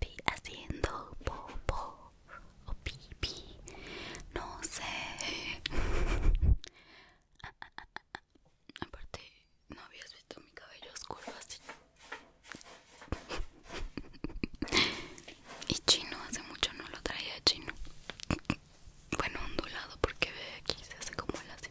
vi haciendo popo o pipi, no sé. Aparte, no habías visto mi cabello oscuro así. y chino, hace mucho no lo traía chino. Bueno, ondulado porque ve aquí se hace como el así.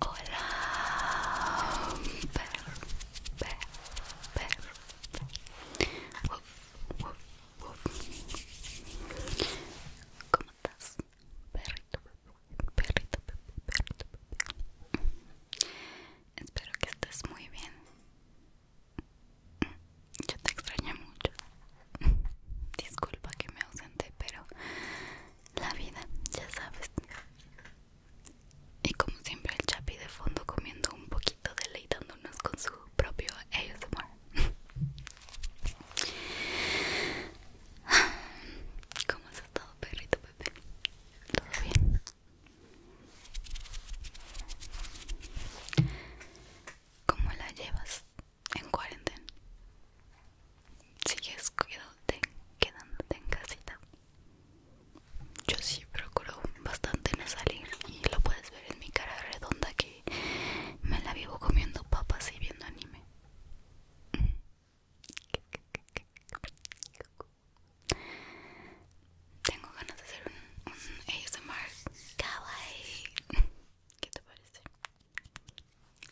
Hola, perro, perro, perro, ¿Cómo estás? Perrito, perrito, perrito, Espero que estés muy bien. Yo te extrañé mucho. Disculpa que me ausente, pero la vida, ya sabes. Y como siempre el Chapi de fondo comiendo un poquito, deleitándonos con su propio ASMR. ¿Cómo has estado, perrito bebé? ¿Todo bien? ¿Cómo la llevas? en cuarentena. Sigues quedándote, quedándote en casita. Yo sí procuro bastante no salir y lo puedes ver en mi cara redonda que me la vivo comiendo papas y viendo anime. Tengo ganas de hacer un, un ASMR kawaii. ¿Qué te parece?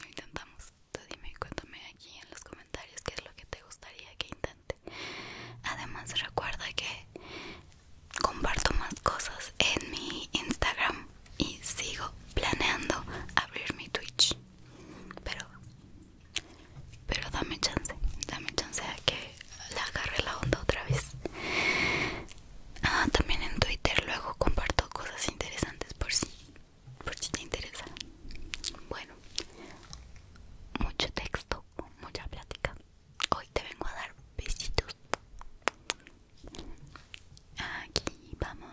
intentamos. Tú dime, cuéntame aquí en los comentarios qué es lo que te gustaría que intente. Además, recuerda que comparto más cosas en mi Instagram y sigo planeando abrir mi Twitch. Pero, pero dame chance, dame chance a que la agarre la onda otra vez. Ah, también en Twitter luego comparto cosas interesantes por si por si te interesa. Bueno, mucho texto, mucha plática. Hoy te vengo a dar besitos. Aquí vamos.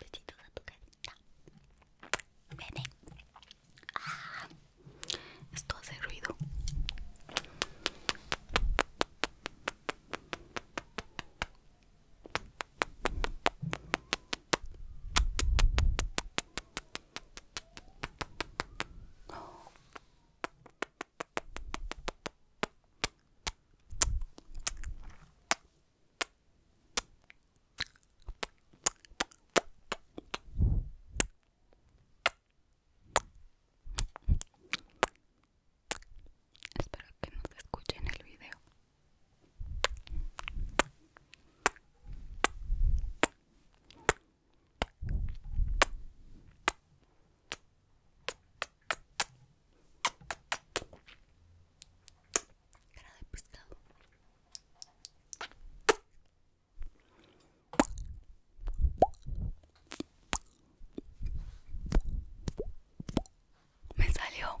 Besitos a tu carita. Vene. Ah, esto hace ruido. Espero que no se escuchen el video cara de pescado me salió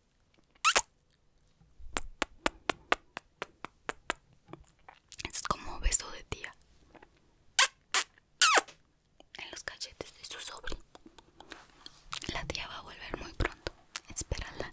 Es como beso de tía en los cachetes de su sobrino La tía va a volver muy pronto. Espérala.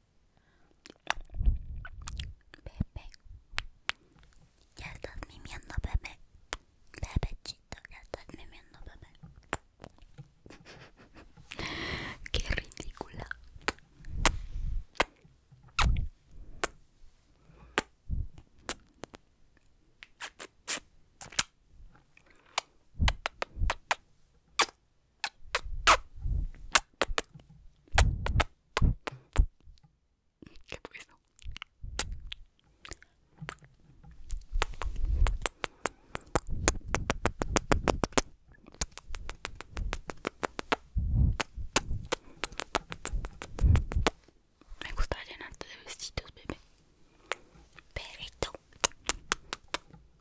Bebé, ya estás mimiendo, bebé. chito ya estás mimiendo, bebé. Qué ridícula. ¿Qué Me gusta llenarte de vestidos, bebé. Perrito.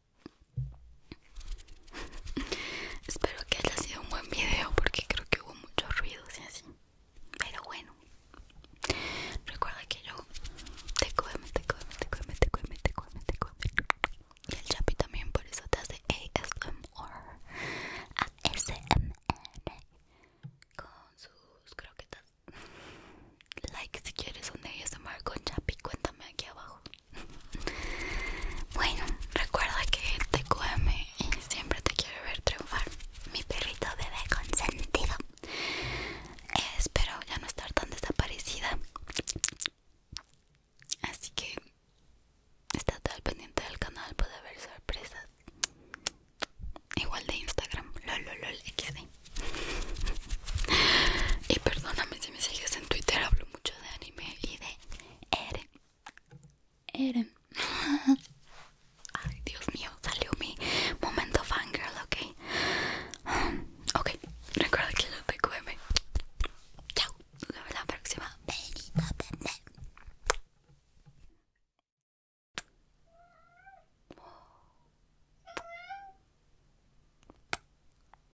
Espero que haya sido un buen video porque creo que hubo muchos ruidos y así. Pero bueno, recuerda que yo te come, te come, te come, te te te Y el Chapi también, por eso te hace ASMR. R con sus croquetas. Like si quieres un ASMR con Chapi, cuéntame aquí abajo. Bueno, recuerda que te siempre te quiere ver triunfar. Mi perrito bebé consentido. espero ya no estar tan desaparecida. Así que estás al pendiente del canal, puede haber sorpresas. Igual de Instagram, quedé. Y perdóname si me sigues en Twitter, hablo mucho de anime y de Eren. Eren. Ay, Dios mío, salió mi momento fangirl, ok. Ok, recuerda que lo te mi. Chao, nos vemos la próxima.